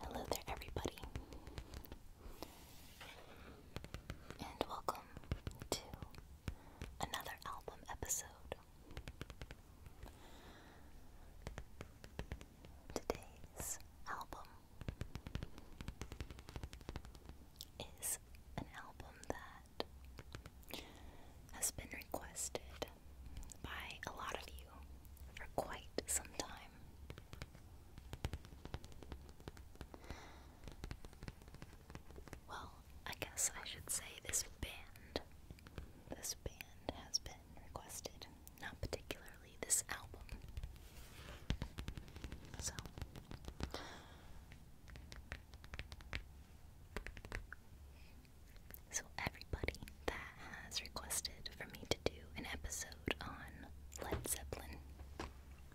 Hello there, everybody, and welcome to another album episode. Today's album is an album that has been requested by a lot of you for quite some time. Well, I guess I should say this band. This band has been requested, not particularly this album. So. So, everybody that has requested for me to do an episode on Led Zeppelin,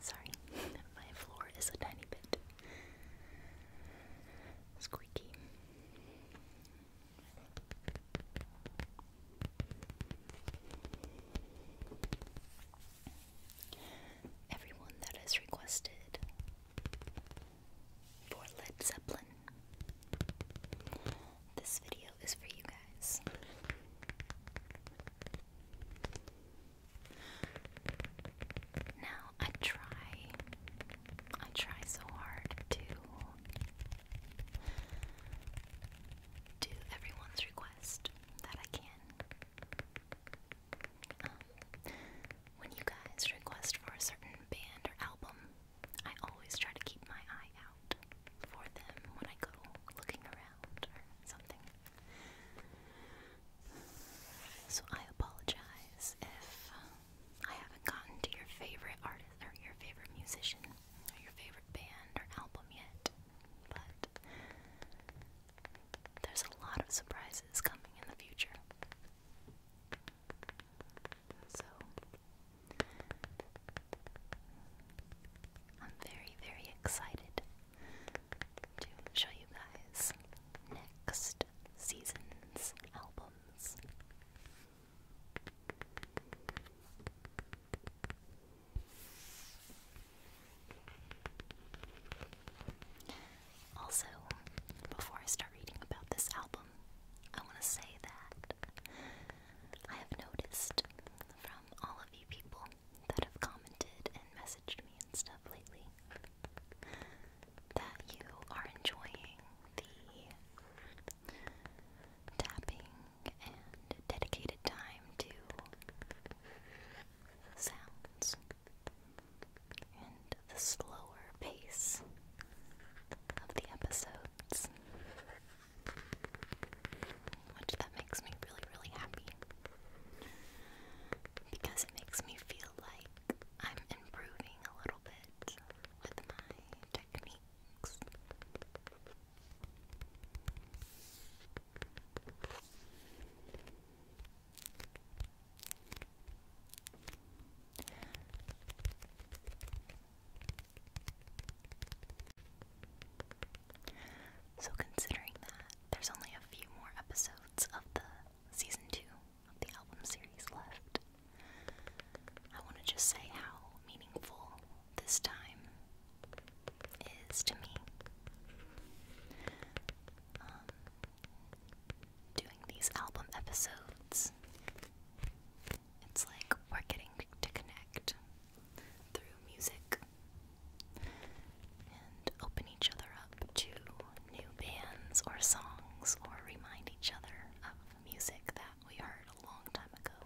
sorry, my floor is a tiny bit squeaky. Everyone that has requested for Led Zeppelin, this video is for you guys. Now I try, I try so hard to do everyone's request that I can. Um, when you guys request for a certain band or album, I always try to keep my eye out for them when I go looking around or something. So I apologize if um, I haven't gotten to your favorite artist or your favorite musician or your favorite band or album yet. But there's a lot of surprises coming in the future. So I'm very, very excited to show you guys next season's albums. Also, before I start reading about this album, I want to say that I have noticed from all of you people that have commented and messaged me and stuff lately that you are enjoying the tapping and dedicated time to sounds and the slower pace of the episodes. Which that makes me really, really happy because it makes me feel like I'm improving a little bit with my techniques. So, considering that there's only a few more episodes of the season two of the album series left. I want to just say how meaningful this time is to me. Um, doing these album episodes, it's like we're getting to connect through music and open each other up to new bands or songs or remind each other of music that we heard a long time ago.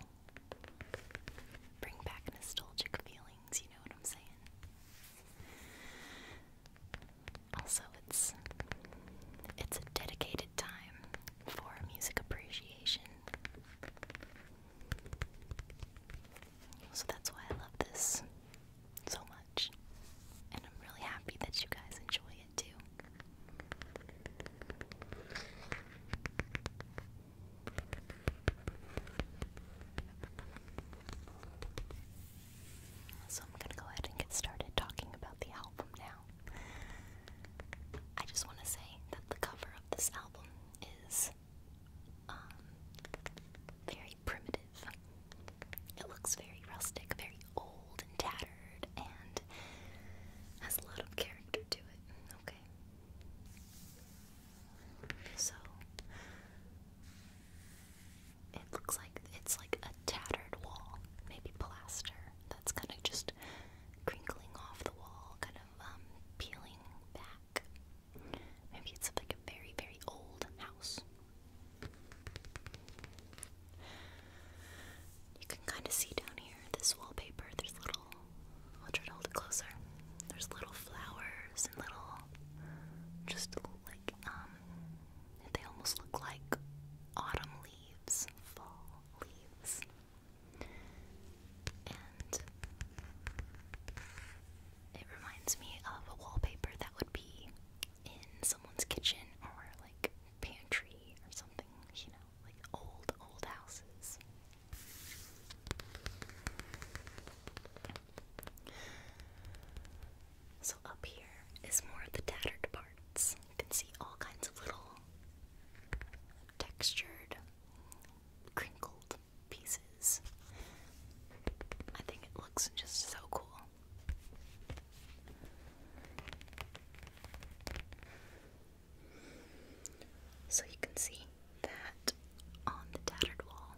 Bring back nostalgic feelings, you know what I'm saying? Also, it's it's a dedicated time for music appreciation. So that's why I love this so much. And I'm really happy that you guys enjoy it too. So I'm going to go ahead and get started talking about the album now. I just want to say that the cover of this album is um, very primitive. It looks very rustic, very old and tattered, and has a lot of character to it. Okay. So it looks like it's like a tattered wall, maybe plaster that's kind of just crinkling off the wall, kind of um, peeling back. Maybe it's like a very, very old house. You can kind of see down here this wallpaper. There's little, I'll try to hold it closer. There's little flowers and little, just like, um, they almost look like autumn leaves, fall leaves. And it reminds me of a wallpaper that would be in someone's kitchen or like pantry or something, you know, like old, old houses. So up here is more of the tattered parts. You can see all kinds of little textured, crinkled pieces. I think it looks just so cool. So you can see that on the tattered wall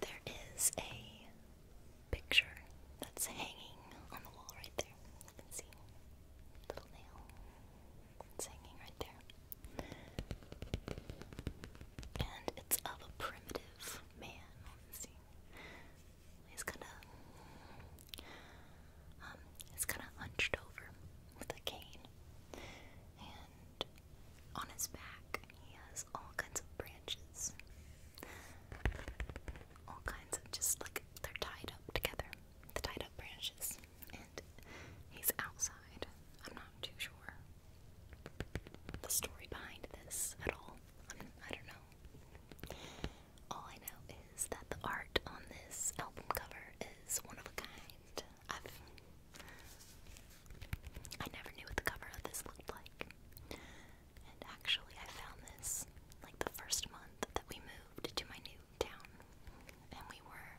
there is a picture that's hanging on the wall right there. You can see little nail. It's hanging right there. And it's of a primitive man He's kind of, um, he's kind of hunched over with a cane, and on his back he has all kinds of branches, all kinds of just like they're tied up together, the tied up branches, and he's outside. I'm not too sure the story behind this at all. I'm, I do not know. All I know is that the art on this album cover is one of a kind. I've I never knew what the cover of this looked like. And actually, I found this like the first month that we moved to my new town, and we were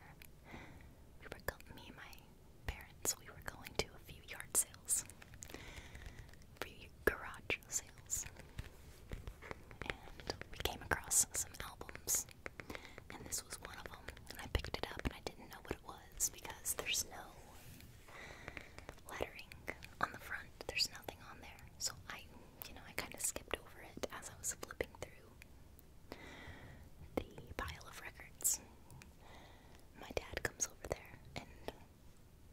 we were me and my parents, we were going to a few yard sales, a few garage sales, and we came across some albums, and this was one of them. And I picked it up, and I didn't know what it was because there's no lettering on the front. There's nothing on there, so I, you know, I kind of skipped over it as I was flipping through the pile of records my dad comes over there and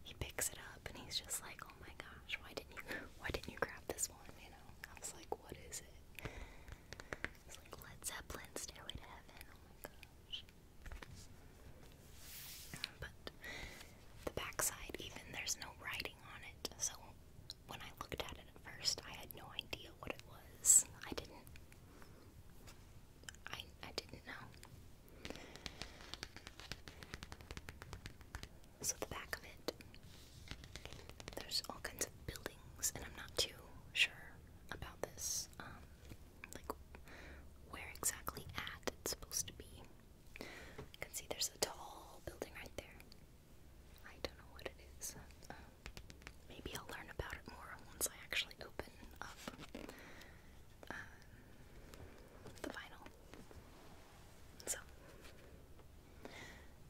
he picks it up and he's just like, "Oh my gosh, why didn't you? Why didn't you grab this one?" You know, I was like, "What is it?" It's like Led Zeppelin, "Stairway to Heaven." Oh my gosh! But the backside, even there's no writing on it, so when I looked at it at first, I had no idea what it was. I didn't. I I didn't know. So the back of it, there's all kinds of buildings, and I'm not too sure about this, um, like where exactly at it's supposed to be. You can see there's a tall building right there. I don't know what it is. Um, maybe I'll learn about it more once I actually open up the vinyl. So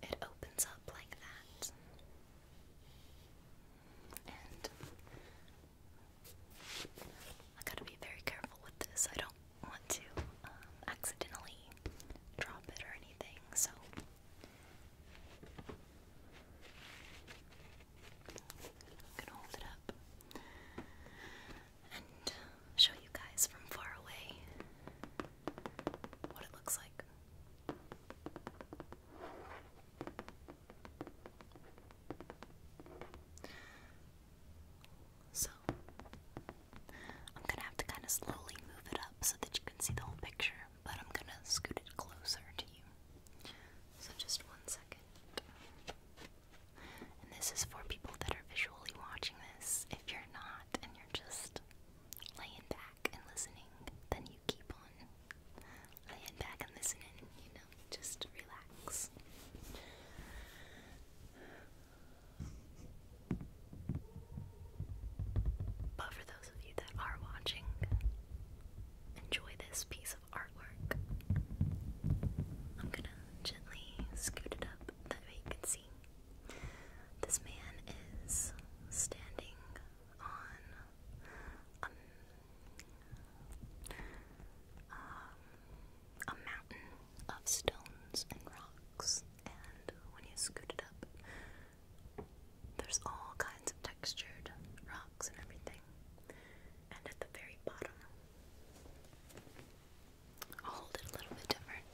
it opens up like that. And I gotta be very careful with this. I don't want to um, accidentally drop it or anything, so I'm gonna hold it up and um, show you guys from far away what it looks like. So, I'm gonna have to kind of slowly move it up so that you can see the whole picture, but I'm gonna scoot it closer to you. So, just one second. And this is for people that are visually watching this. If you're not and you're just laying back and listening, then you keep on laying back and listening, you know, just relax. But for those of you that are watching, enjoy this piece artwork. I'm gonna gently scoot it up that way you can see. This man is standing on um, a mountain of stones and rocks, and when you scoot it up, there's all kinds of textured rocks and everything. And at the very bottom, I'll hold it a little bit different.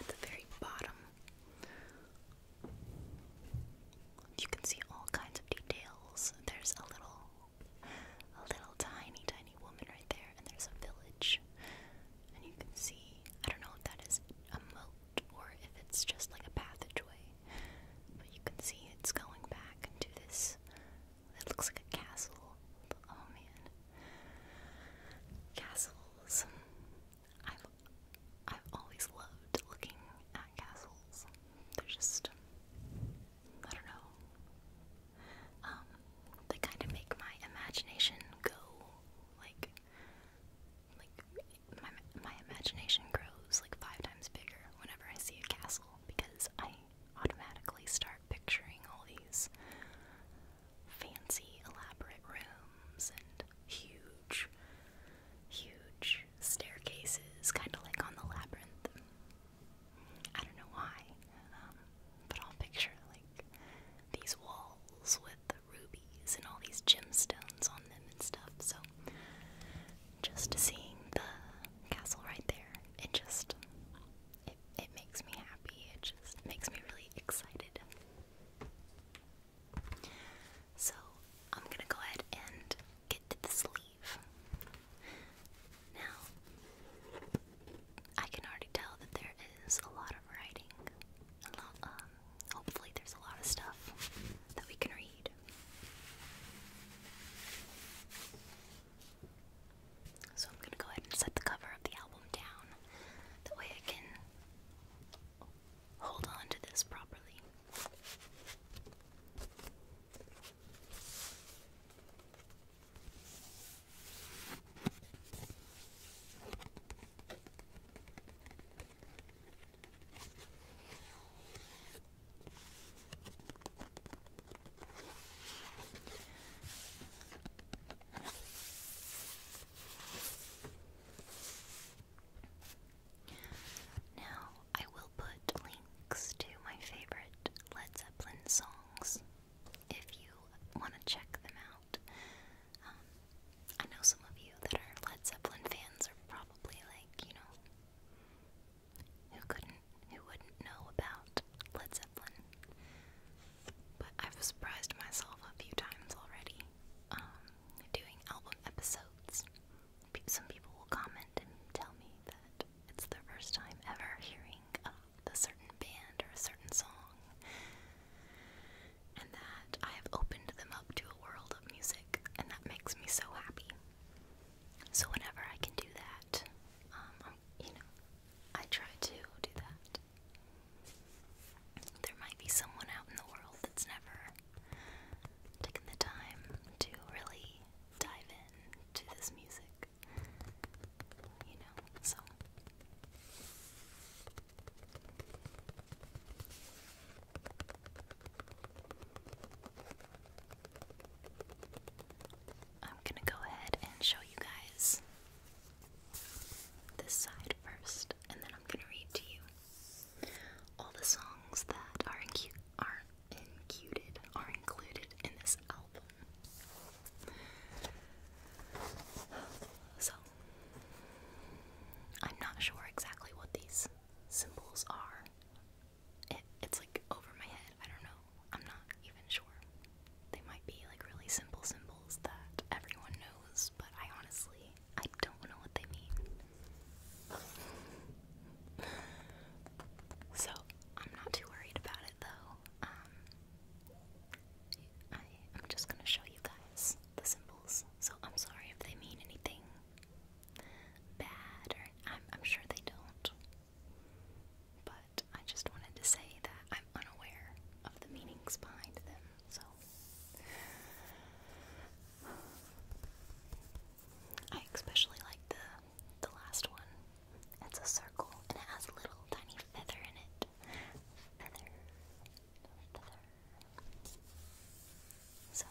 At the very bottom, you can see all kinds of details. There's a little, a little tiny, tiny woman right there, and there's a village. And you can see, I don't know if that is a moat or if it's just like a passageway. But you can see it's going back into this. It looks like a castle. Oh man, castles! I've I've always loved looking at castles. They're just I don't know. Um, they kind of make my imagination go like like my imagination grows like five times bigger whenever I see a castle because I automatically start picturing all these fancy, elaborate rooms and huge, huge staircases, kind of like on the labyrinth. I don't know why, um, but I'll picture like these walls with rubies and all these gemstones on them and stuff. So just seeing the castle right there, it just it, it makes me happy. It just makes me really excited. So I'm gonna go ahead and get to the sleeve. Now I can already tell that there is a lot of writing, hopefully there's a lot of stuff that we can read. So I'm gonna go ahead and set the cover of the album down. That way I can hold on to this properly. Now, I will put links to my favorite Led Zeppelin songs if you want to check them out. Um, I know some of you that are Led Zeppelin fans are probably like, you know, who couldn't, who wouldn't know about Led Zeppelin? But I've surprised myself a few times already um, doing album episodes. Some people will comment and tell me that it's the first time ever hearing a certain band or a certain song and that I have opened them up to a world of music, and that makes me so happy. So whenever I can do that, um, you know, I try to do that. There might be someone out in the world that's never taken the time to really dive into this music, you know, so. I'm gonna go ahead and show you guys this side first, and then I'm gonna read to you all the songs that are, incu are, included, are included in this album. So, I'm not sure exactly what these symbols are. it's like over my head. I don't know. I'm not even sure. They might be like really simple symbols that everyone knows, but I honestly I don't know what they mean. so I'm not too worried about it though. Um, I'm just gonna show you guys the symbols, so I'm sorry if they mean anything bad, or I'm, I'm sure they don't. But I just wanted to say that I'm unaware of the meanings behind them, so. I especially like the the last one. It's a circle and it has a little tiny feather in it. Feather, so,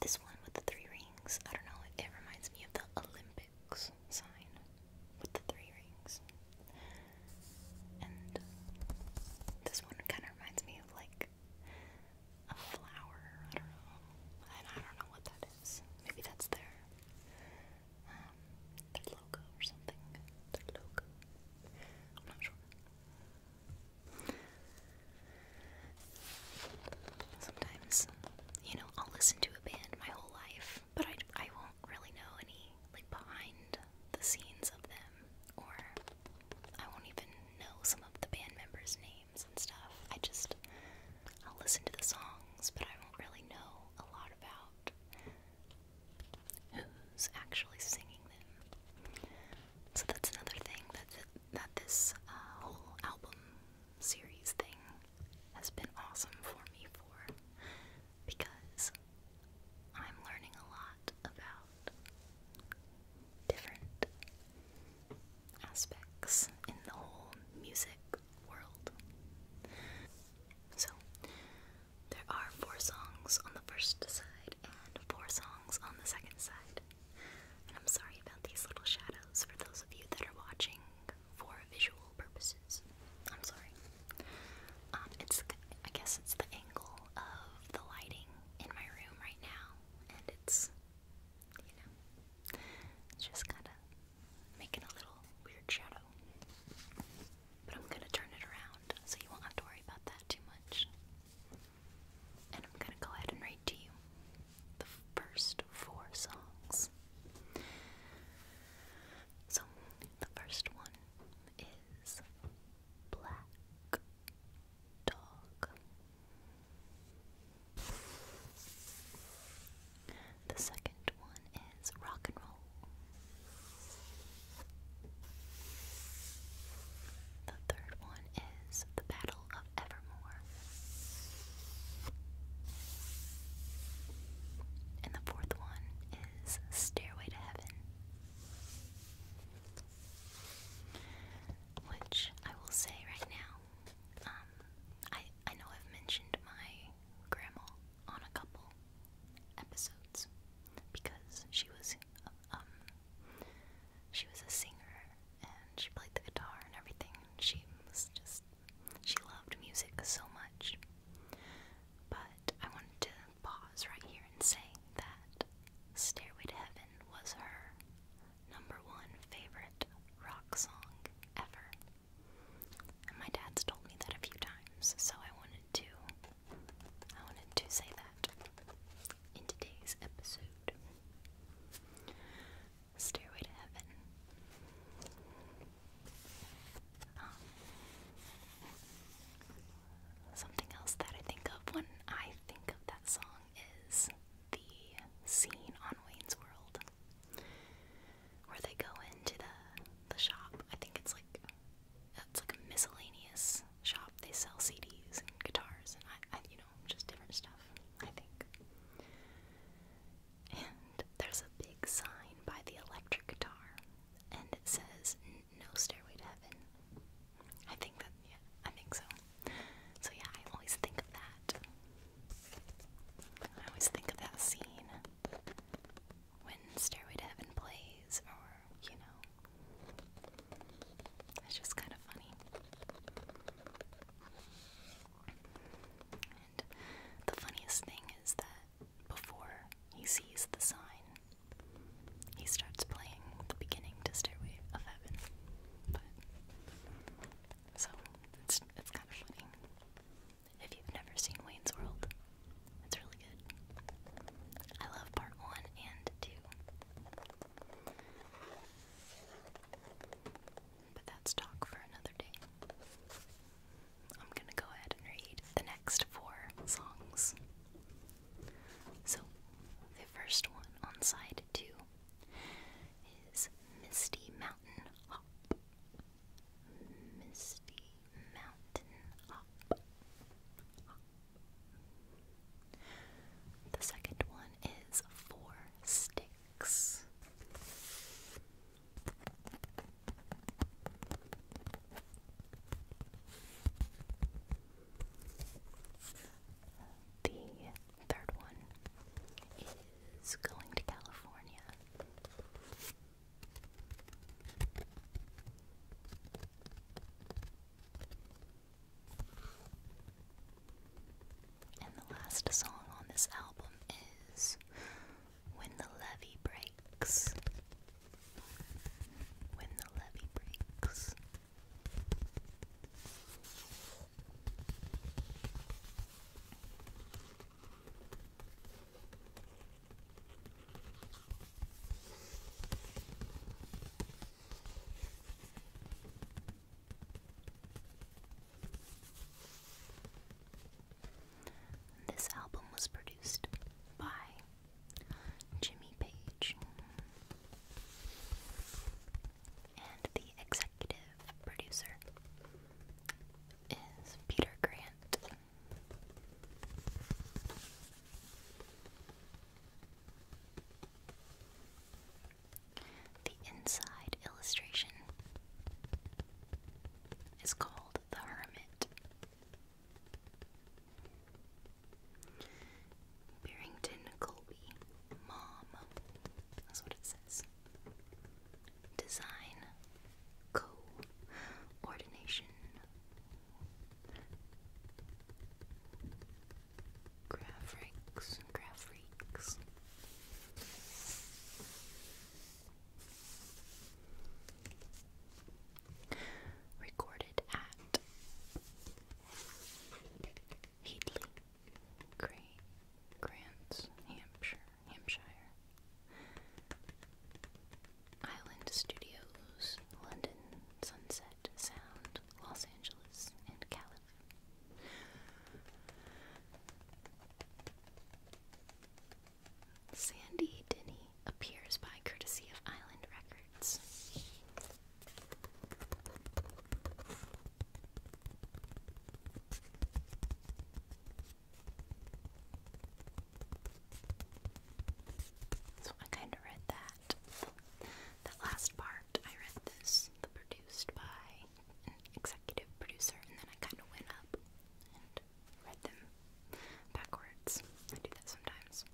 this one with the three rings, I don't know, it, it reminds me of the Olympics sign with the three rings. And this one kind of reminds me of like a flower, I don't know. I don't know what that is. Maybe that's their um, their logo or something. Their logo. I'm not sure. Sometimes, you know, I'll listen to a band my whole life, but I, I won't really know any, like, behind the scenes of them, or I won't even know some of the band members' names and stuff. I just, I'll listen to the songs, but I won't really know a lot about who's actually singing them. So that's another thing that that this uh, whole album series thing has been awesome for me for because I'm learning a lot about different aspects in the whole music world. So there are four songs on the first side and four songs on the second side. And I'm sorry about these little shadows for those of you that are watching for visual purposes. I'm sorry. Um, it's I guess it's the angle of the lighting in my room right now, and it's you know it's just kind of making a little weird shadow. But I'm gonna turn it around, so you won't have to worry about that too much and I'm gonna go ahead and read to you the first four songs. So, the first one is Black Dog. The second one is Rock and Roll. The third one is the Battle of Evermore. And the fourth one is Stairway to Heaven. Which I will say right now, um, I I know I've mentioned my grandma on a couple episodes because she was um she was a singer and she played the guitar and everything. She was just, she loved music so much. But I wanted to pause right here and say that Stairway to Heaven was her number one favorite rock song ever. my dad's told me that a few times, so I wanted to I wanted to say that in today's episode. Stairway to Heaven. Um, something else that I think of when I think of that song is the scene on Wayne's World where they go into the the shop. I think it's like it's like a miscellaneous shop. They sell CDs and guitars and I, you know, just different stuff, I think. And there's a big sign by the electric guitar and it says no stairway to heaven. I think that yeah, I think so. So yeah, I always think of that. I always think of that scene when Stairway to Heaven plays or you know. It's just kind of funny. And the funniest thing is that before he sees the sign, he starts playing the beginning to of Heaven. so it's it's kind of funny. If you've never seen Wayne's World, it's really good. I love part one and two. But that's talk for another day. I'm gonna go ahead and read the next four songs. So, the first one on side two is Misty Mountain Hop. Misty Mountain Hop. The second one is four sticks. The third one is going to California. And the last song on this album is When the Levee Breaks. When the Levee Breaks. This album was produced by Jimmy Page, and the executive producer is Peter Grant. The inside illustration is called The Hermit. Barrington Colby, Mom, that's what it says. Design, coordination, Graph Freaks, Recorded at Heatley, Grey, Grants, Hampshire, Hampshire. Island Studios, London, Sunset. Sound, Los Angeles, and California. Sandy Denny appears by courtesy of Island Records. So I kind of read that that. last part, I read this, the produced by executive producer, and then I kind of went up and read them backwards. I do that sometimes.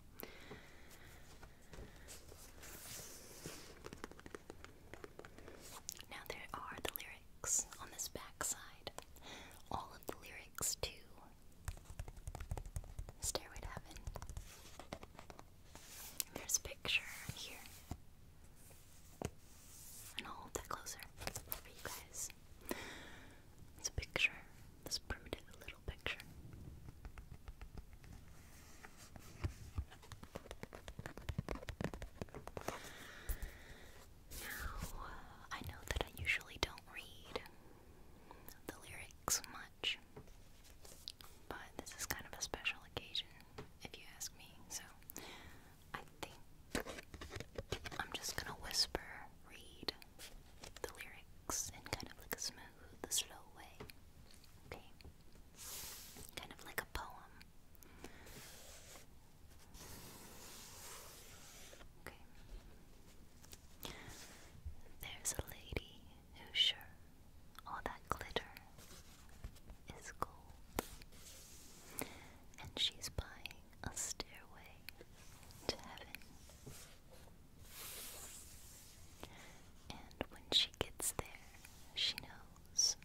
Now, there are the lyrics on this backside. All of the lyrics to Stairway Heaven. There's a picture here. And I'll hold that closer for you guys. It's a picture, this primitive little picture. Now, uh, I know that I usually don't read the lyrics much, but this is kind of a special occasion, if you ask me, so I think I'm just gonna whisper, read the lyrics in kind of like a smooth, slow way. Okay? Kind of like a poem. Okay. There's a lady who's sure all that glitter is gold? And she's buying a stairway to heaven. And when she gets there, she knows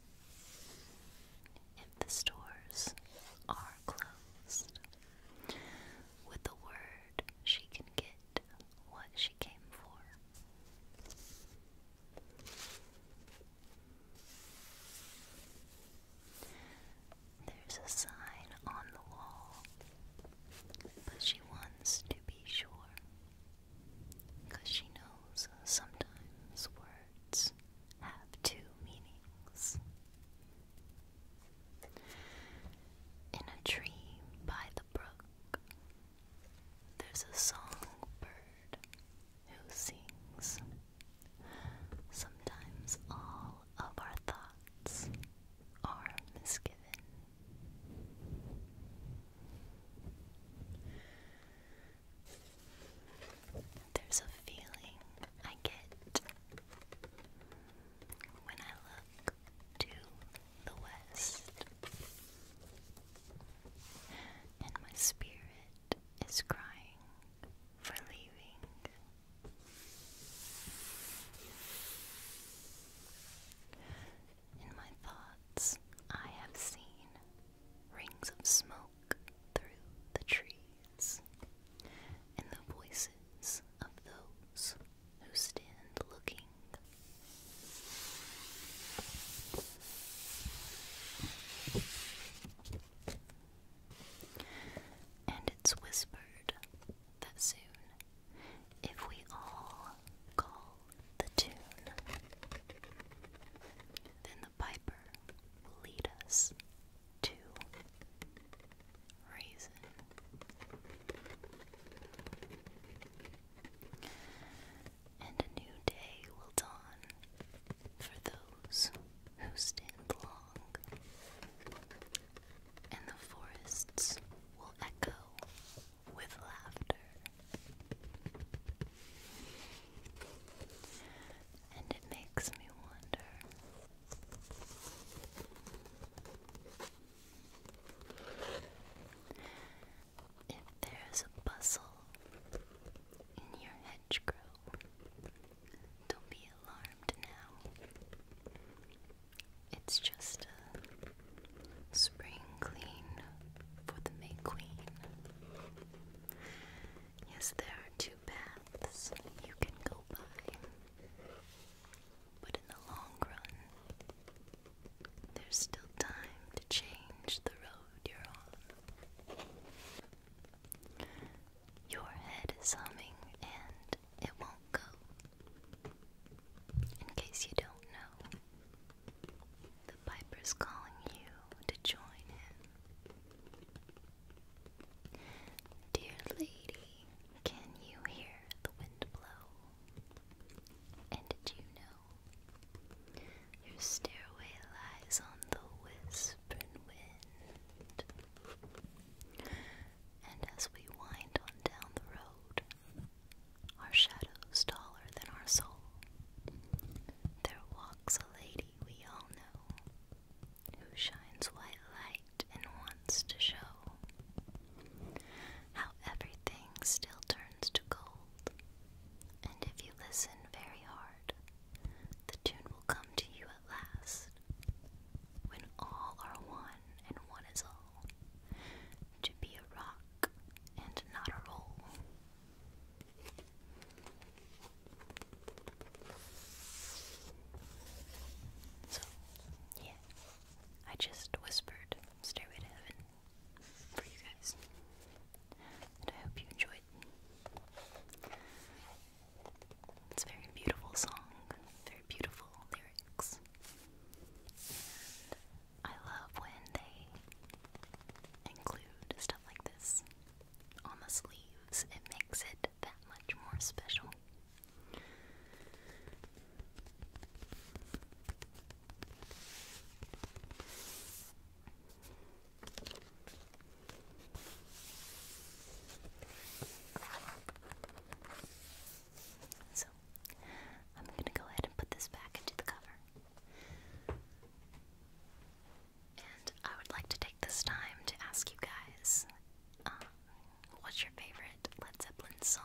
if the stores are closed. With a word, she can give what she came for. There's a sign on the wall, but she wants to be sure. Because she knows sometimes words have two meanings. In a tree by the there's a songbird who sings. Sometimes all of our thoughts are misgiven. There's a feeling I get when I look to the west. And my spirit is crying for leaving. In my thoughts, I have seen rings of smoke through the trees, and the voices of those who stand looking. And it's whispered that soon, if we all call the tune, then the piper will lead us to Raisin. And a new day will dawn for those who stand long, and the forests will echo with laughter. And it makes me wonder if there's a bustle in your hedgerow, don't be alarmed now. It's just a spring clean for the May Queen. Yes, there are two paths you can go by, but in the long run, there's still time to change the road you're on. Your head is humming and it won't go. In case you don't know, the piper's calling you to join him. Dear lady, can you hear the wind blow? And did you know your stairway lies on the whispering wind. And as we wind on down the road, our shadows taller than our soul, there walks a lady we all know, who shines white light and wants to show how everything still turns to gold. And if you listen very hard, the tune will come to you at last. When all are one and one is all, to be a rock and not a roll. So, yeah, I just whispered Stairway to Heaven for you guys. And I hope you enjoyed. It's very beautiful song, very beautiful lyrics. I love when they include stuff like this on the sleeves. It makes it that much more special. So, I'm going to go ahead and put this back into the cover. And I would like to take this time to ask you guys um, what's your favorite Led Zeppelin song?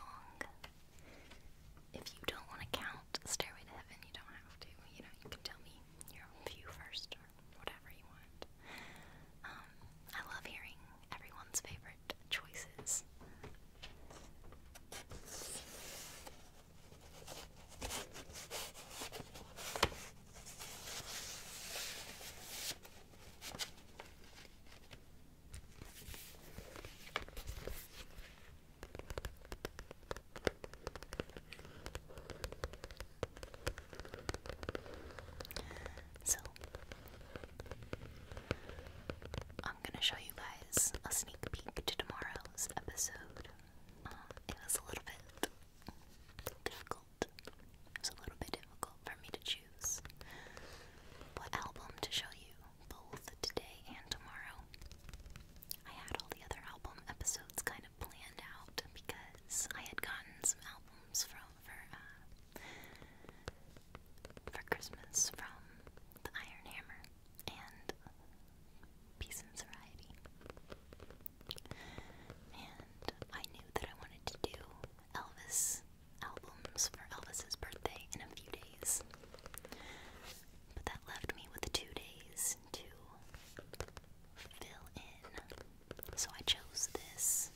If you don't want to count Stairway to Heaven, you don't have to. You know, you can tell me your own view first or whatever you want. Um, I love hearing everyone's favorite choices. So, I'm gonna show you guys a sneak peek to tomorrow's episode. Uh, it was a little bit difficult. It was a little bit difficult for me to choose what album to show you both today and tomorrow. I had all the other album episodes kind of planned out because I had gotten some albums from for uh, for Christmas from the Iron Hammer and Peace and Variety, and I knew that I wanted to do Elvis albums for Elvis's birthday in a few days. But that left me with two days to fill in. So I chose this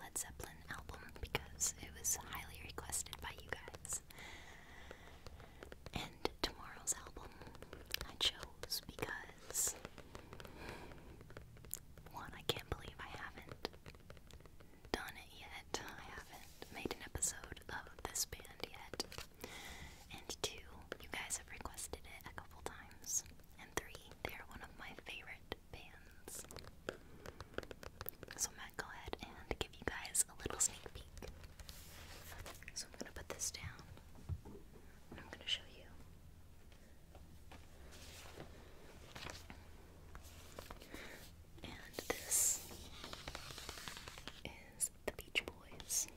Led Zeppelin album because it was highly requested by you guys. And tomorrow's album I chose because one, I can't believe I haven't done it yet. I haven't made an episode of this band yet. And two, you guys have requested it a couple times. And three, they are one of my favorite bands. So i go ahead and give you guys a little sneak peek. So I'm gonna put this down I'm gonna show you. And this is the Beach Boys. It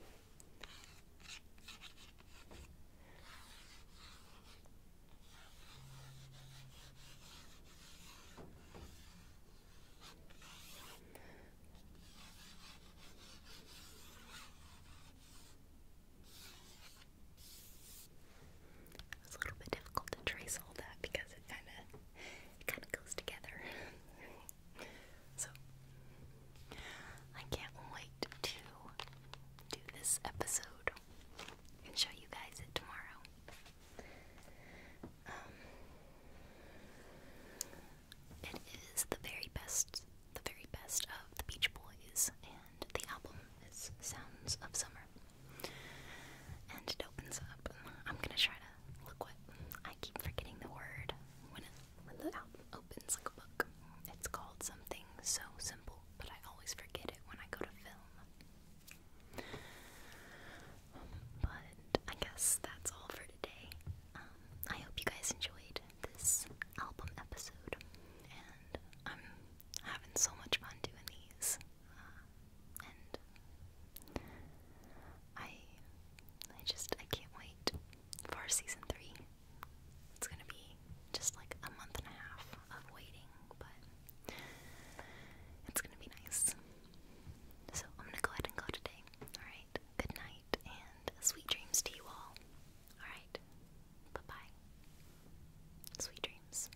was a little bit difficult to trace all that because it kind of it kind of goes together. so, I can't wait to do this episode and show you guys it tomorrow. Um, it is the very best, the very best of the Beach Boys, and the album is Sounds of Summer. And it opens up. I'm gonna try look what I keep forgetting the word when the album opens like a book. It's called something so simple, but I always forget it when I go to film. but I guess that's all for today. Um, I hope you guys enjoyed this album episode, and I'm having so much fun doing these. Uh, and I I just I can't wait for season three. It's gonna be just like a month and a half of waiting, but it's gonna be nice. So I'm gonna go ahead and go today. Alright, good night and sweet dreams to you all. Alright, bye bye. Sweet dreams.